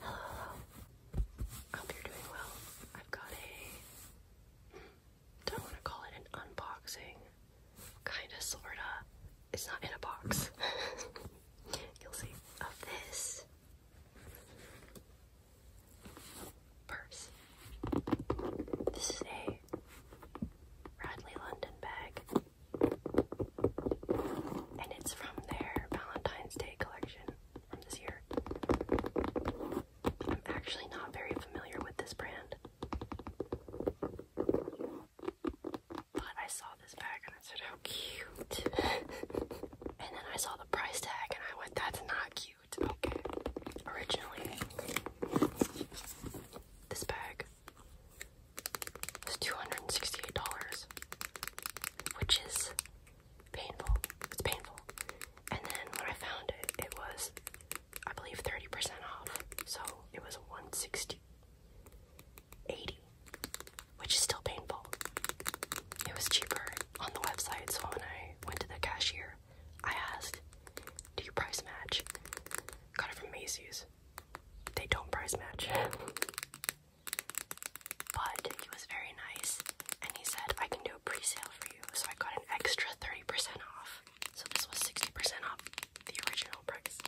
Hello, Hope you're doing well. I've got a don't want to call it an unboxing. Kinda sorta. It's not in a box. You'll see. Of this purse. This is a Radley London bag. And it's from their Valentine's Day collection from this year. I'm actually not very familiar with this brand. But I saw this bag and I said, how cute. and then I saw the price tag and I went, that's not cute. Okay. Originally, this bag was $268 which is painful. It's painful. And then when I found it, it was, I believe, 30% off. So it was 160 which is still painful. It was cheaper on the website, so when I went to the cashier, I asked, do you price match? Got it from Macy's. They don't price match. But he was very nice and he said, I can do a pre sale for you. So I got an extra 30% off. So this was 60% off the original price.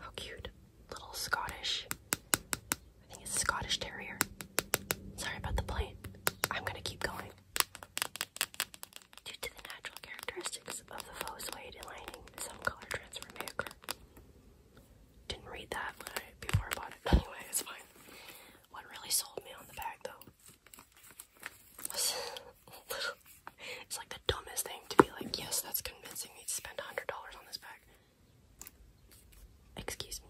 How cute. Little Scottish. I think it's a Scottish Terrier. Sorry about the plane. I'm gonna keep going. Due to the natural characteristics of the faux suede lining, some color transfer may occur. Didn't read that before I bought it. Anyway, it's fine. What really sold me on the bag, though, it's like the dumbest thing to be like, yes, that's convincing me to spend $100 on this bag. Excuse me.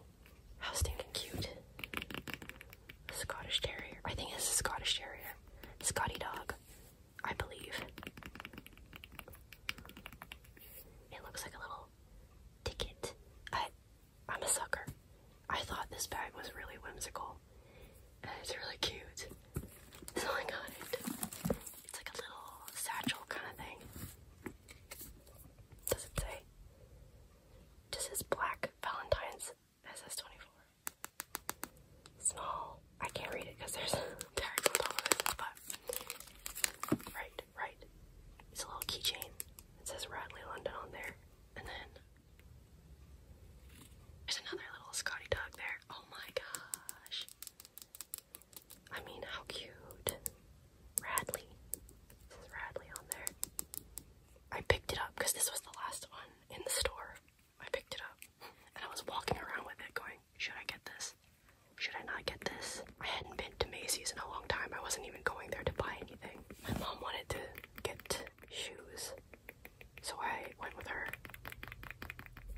How stinking cute. Scottish Terrier. I think it's a Scottish Terrier. Scotty Dog. I believe. It looks like a little ticket. I, am a sucker. I thought this bag was really whimsical and it's really cute. So I got it. It's like a little satchel kind of thing. Does it say? Just says black Valentine's that says 24. Small. I can't read it because there's tags on but right, right. It's a little keychain. It says Radley London on there. And then there's another little Scotty dog there. Oh my gosh. I mean, how cute. Radley. This is Radley on there. I picked it up because this was the last one in the store. I picked it up and I was walking around with it going, should I get this? Should I not get this? I hadn't been to Macy's in a long time. I wasn't even going there to buy anything. My mom wanted to get shoes, so I went with her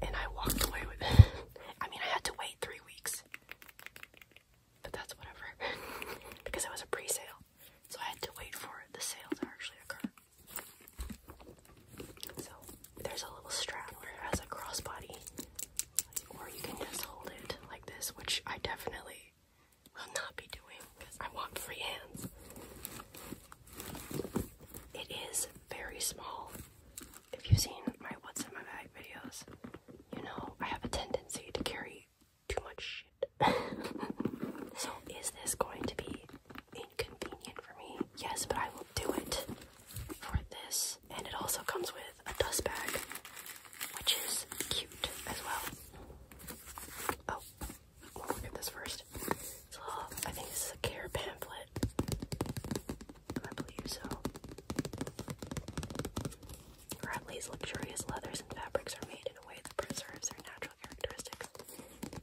and I walked away with it. I mean, I had to wait three weeks, but that's whatever because it was a pre sale, so I had to wait for the sale to actually occur. So there's a little strap where it a crossbody, or you can just hold it like this, which I definitely will not be doing because I want free hands. It is very small. If you've seen my what's in my bag videos, you know I have a tendency to carry too much shit. so is this going to be inconvenient for me? Yes, but I will do it for this. And it also comes with a dust bag, which is cute as well. Oh, we'll look at this first. It's I think this is a care pamphlet. I believe so. Bradley's luxurious leathers and fabrics are made in a way that preserves their natural characteristics.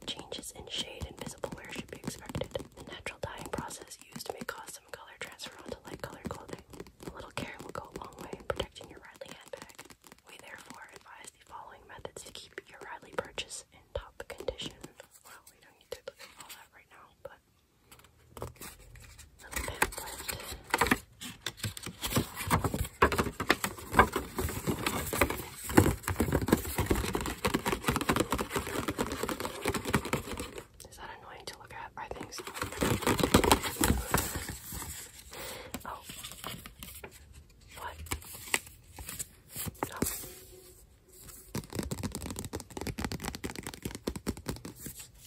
Changes in shade and visible wear should be expected. The natural dyeing process used may cause some color transfer onto light colored clothing. A little care will go a long way in protecting your Riley handbag. We therefore advise the following methods to keep your Riley purchase in top condition. Well, we don't need to look at all that right now, but is that annoying to look at? I think Oh. What?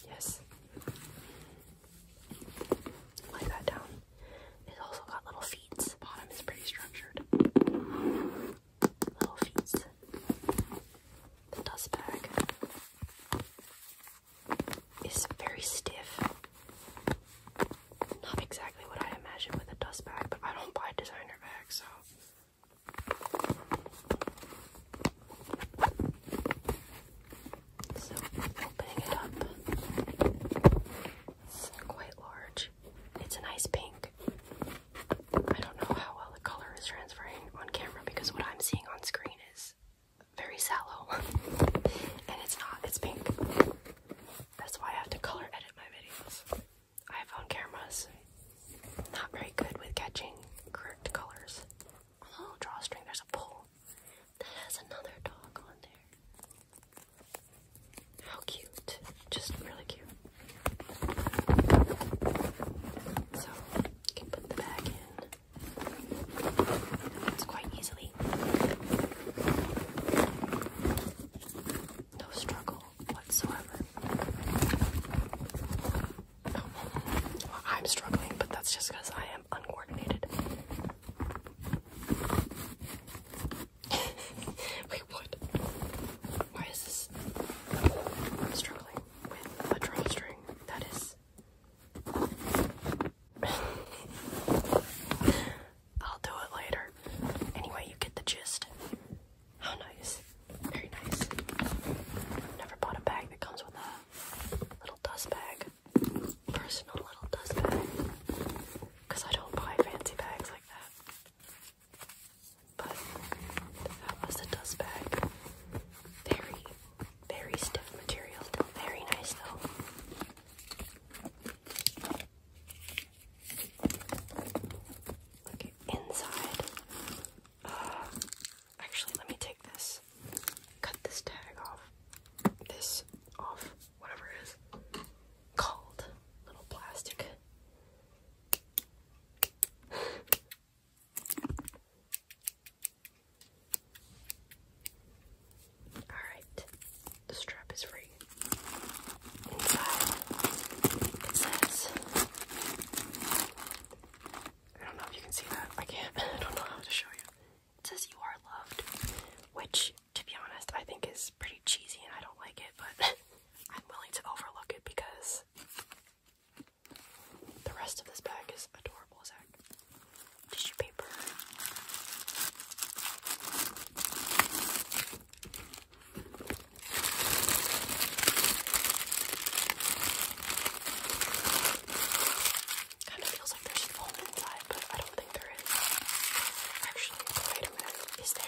Yes. Lay that down. It's also got little feet. The bottom is pretty structured. Little feet. The dust bag is very stiff. Not exactly what I imagined with a dust bag, but I don't buy designer bags, so. So, opening it up, it's quite large. It's a nice pink. I don't know how well the color is transferring on camera because what I'm seeing on screen is very sallow. and it's not, it's pink. That's why I have to color edit my videos. iPhone cameras, not very good with catching correct colors. On oh, the little drawstring, there's a pole that has another dog on there. How cute. Just really cute. So, you can put the bag in. It's quite easily. No struggle whatsoever. I'm struggling, but that's just because I am uncoordinated. Wait, what? Why is this? I'm struggling with a drawstring. That is. I'll do it later. Anyway, you get the gist. How nice. Very nice. Never bought a bag that comes with a little dust bag. Personal little dust bag. Because I don't buy fancy bags like that. But that was a dust bag. Very, very stiff material. Very nice though. Okay, inside. actually, let me take this. Cut this tag off. This off whatever it is called. Little plastic. Alright, the strap is free. Inside, it says, I don't know if you can see that, I can't, I don't know how to show you. It says, You are loved, which to be honest, I think is pretty cheesy and I don't like it, but I'm willing to overlook it because the rest of this bag is adorable as heck. Tissue paper. Kind of feels like there's foam inside, but I don't think there is. Actually, boy, is there?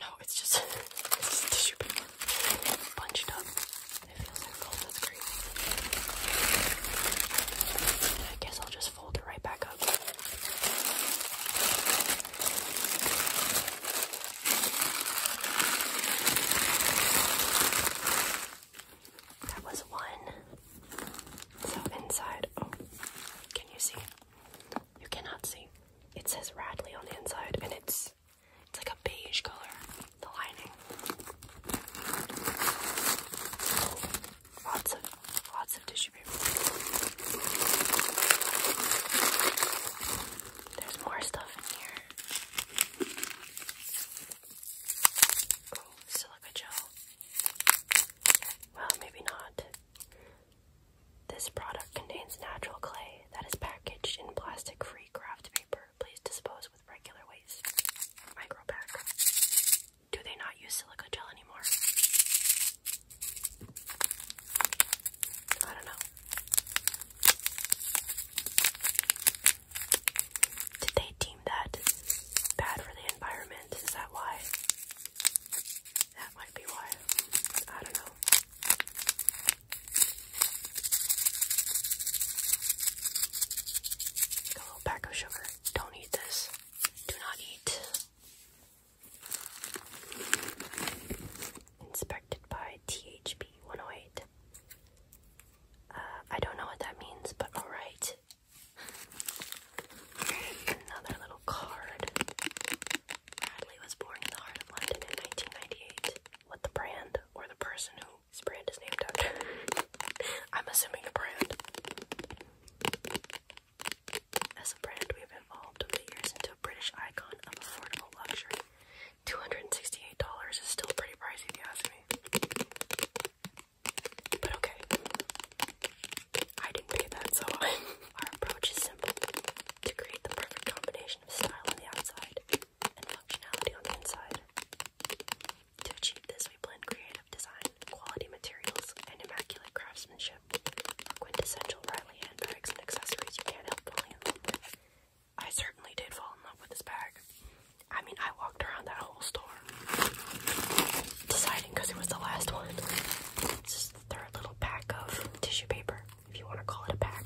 No, it's just, just tissue paper bunched up. It feels like cold, that's crazy. I guess I'll just fold it right back up. That was one. So inside, oh, can you see? You cannot see. It says Radley on the inside, and it's it's like a beige color, the lining. Lots of lots of tissue paper. There's more stuff in here silica gel. Well, maybe not. This product contains natural clay that is packaged in plastic free craft paper. Please dispose with regular waste. Micro Do they not use silica gel anymore? I don't know. Did they deem that bad for the environment? Is that why? That might be why. I don't know. a little pack of sugar. Don't eat this. Do not eat. Inspected by THB 108. Uh, I don't know what that means, but alright. Another little card. Bradley was born in the heart of London in 1998. What the brand or the person who his brand is named after? I'm assuming the brand. As a brand, we have evolved over the years into a British icon of affordable luxury. $268 is still pretty pricey if you ask me. But okay. I didn't pay that, so our approach is simple. To create the perfect combination of style on the outside and functionality on the inside. To achieve this, we blend creative design, quality materials, and immaculate craftsmanship. Quintessential Riley handbags and accessories you can't help falling love I certainly did fall in love with this bag. I mean, I walked around that whole store deciding because it was the last one. just the third little pack of tissue paper, if you want to call it a pack.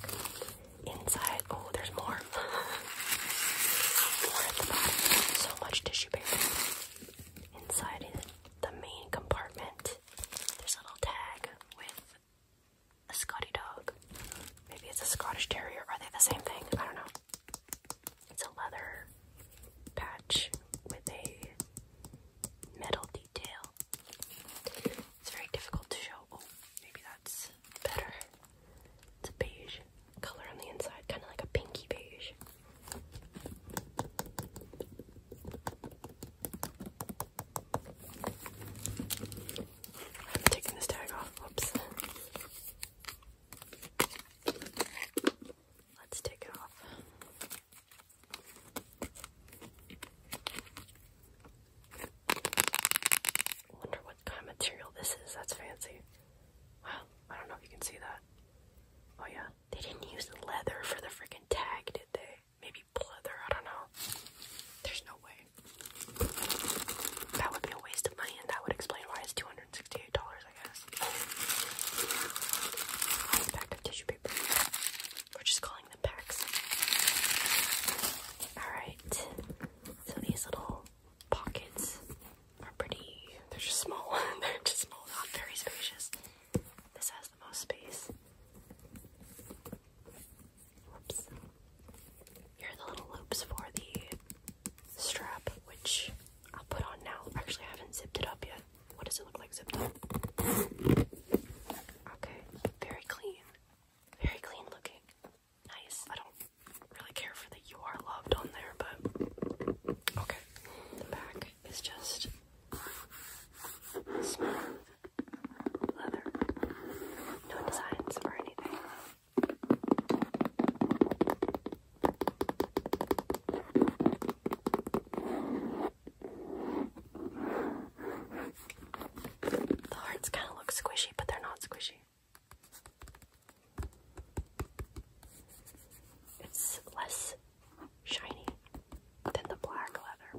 Inside, oh, there's more. So much tissue paper. Inside the main compartment, there's a little tag with a Scotty dog. Maybe it's a Scottish Terrier. Are they the same thing? I don't know. It's a leather patch with a metal detail. It's very difficult to show. Oh, maybe that's better. It's a beige color on the inside, kind of like a pinky beige. I'm taking this tag off. Oops. Let's take it off. Wonder what kind of material this is. That's fancy. Wow, I don't know if you can see that. Oh yeah, they didn't use leather for the freaking tag, did they? Maybe pleather. I don't know. There's no way. That would be a waste of money, and that would explain why it's $268, I guess. It's packed tissue paper. We're just calling them packs. Alright, so these little pockets are pretty, they're just small, they're just small, not very spacious. This has the most space. Here are the little loops for the strap, which I'll put on now. Actually, I haven't zipped it up yet. What does it look like zipped up? Okay, very clean. Very clean looking. Nice. I don't really care for the you are loved on there, but okay. The back is just smooth leather. No designs or anything. The hearts kind of look squishy, but they're not squishy. It's less shiny than the black leather.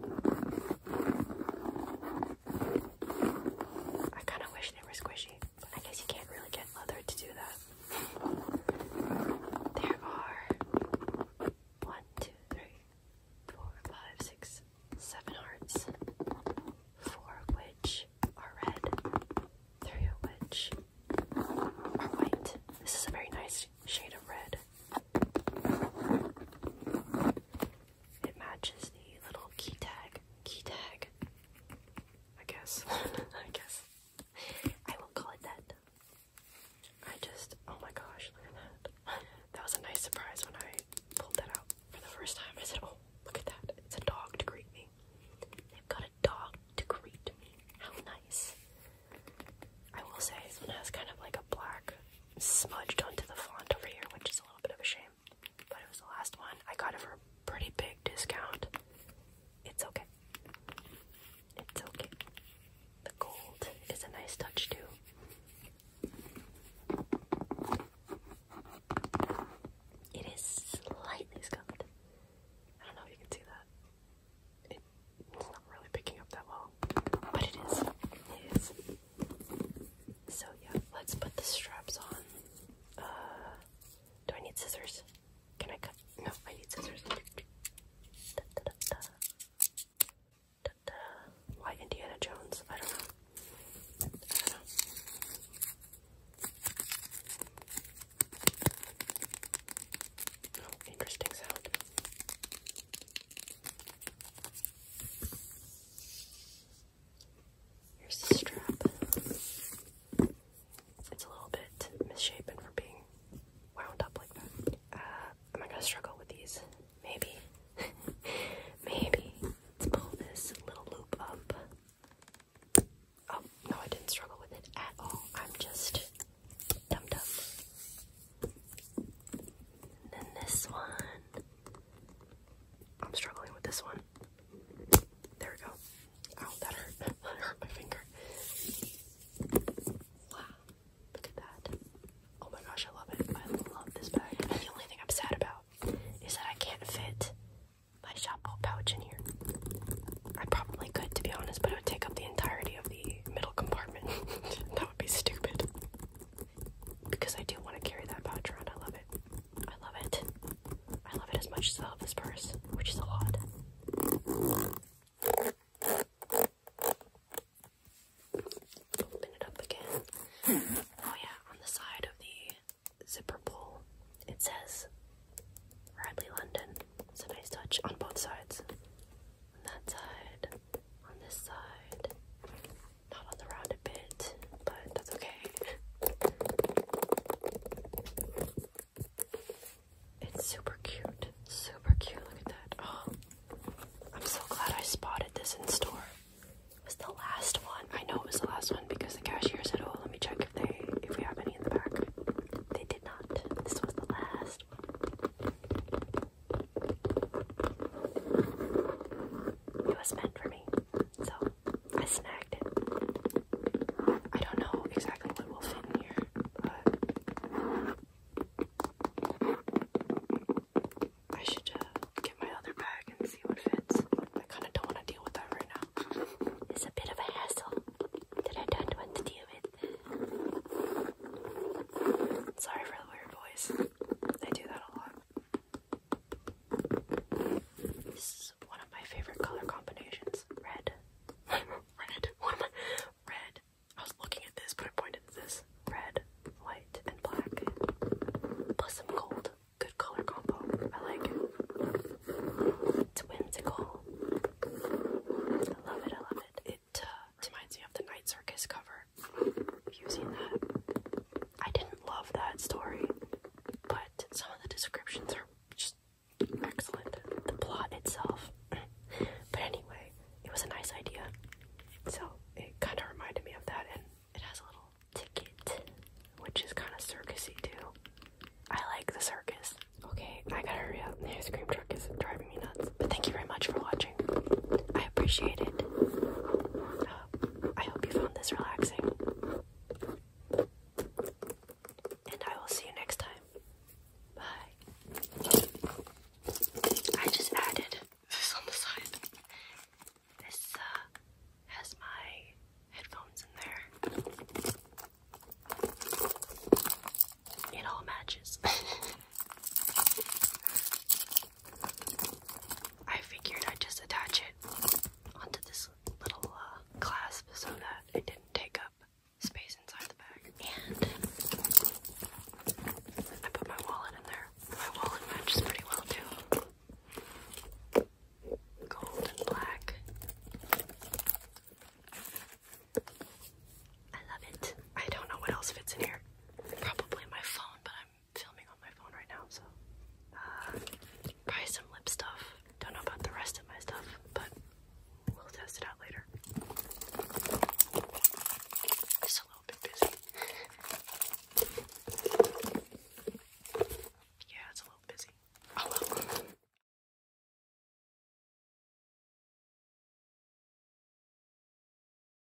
I kind of wish they were squishy, but I guess you can't really get leather to do that. There are one, two, three, four, five, six, seven hearts, four of which are red, three of which are white. This is a very nice shade of red. It matches the little key tag. Key tag. I guess. I guess. I will call it that. I just, oh my gosh, look at that. That was a nice surprise when I pulled that out for the first time. I said, oh, look at that. It's a dog to greet me. They've got a dog to greet me. How nice. I will say, this has kind of like a black smudged onto the font over here, which is a little bit of a shame but it was the last one. I got it for a pretty big discount. It's okay. It's okay. The gold is a nice touch too. It is slightly scuffed. I don't know if you can see that. it's not really picking up that well, but it is. It is. So yeah, let's put the straps on. Uh, do I need scissors? Can I cut? No, I need scissors. Why Indiana Jones? I don't know. Oh, interesting sound. Here's the strap. It's a little bit misshapen from being wound up like that. Uh, am I gonna struggle with these? Maybe. Maybe. Let's pull this little loop up. Oh, no, I didn't struggle with it at all. I'm just dumb And then this one. I'm struggling with this one. There we go. Oh, that hurt. that hurt my finger. Wow. Look at that. Oh my gosh, I love it. I love this bag. And the only thing I'm sad about is that I can't fit my shopball pouch in here. I probably could, to be honest, but it would take up the entirety of the middle compartment. that would be stupid because I do want to carry that pouch around. I love it. I love it. I love it as much as I love this purse, which is a lot. Open it up again. Oh yeah, on the side of the zipper pull, it says Radley London. It's a nice touch on both sides. On that side, on this side. Not on the rounded bit, but that's okay. It's super cute. Super cute. Look at that. Oh, I'm so glad I spotted this in store. It was the last one. I know it was the last one because the cashier said, "Oh, let me check if they if we have any in the back." They did not. This was the last one. It was meant for me, so I snagged it. I don't know exactly what will fit here, but I should uh, get my other bag and see what fits. I kind of don't want to deal with that right now. It's a bit of a hassle that I don't want to deal with. Sorry for the weird voice. I do that a lot. This is one of my favorite color combinations. Red. red. red. I was looking at this, but I pointed this. Red, white, and black. Plus some gold. Good color combo. I like it. I love it, I love it. It uh, reminds me of the Night Circus cover using that. I didn't love that story, but some of the descriptions are just excellent. The plot itself. but anyway, it was a nice idea. So it kind of reminded me of that, and it has a little ticket, which is kind of circusy too. I like the circus. Okay, I gotta hurry up. The ice cream truck is driving me nuts. But thank you very much for watching. I appreciate it. I hope you found this relaxing. And I will see you next time. Bye. I just added this on the side. This uh, has my headphones in there. It all matches. I figured I'd just attach it onto this little uh, clasp so that it didn't take up space inside the bag. And I put my wallet in there. My wallet matches pretty well too. Gold and black. I love it. I don't know what else fits in here. Probably my phone, but I'm filming on my phone right now, so uh, probably some lip stuff. Don't know about the rest of my stuff, but we'll test it out later. Just a little bit busy. yeah, it's a little busy. Oh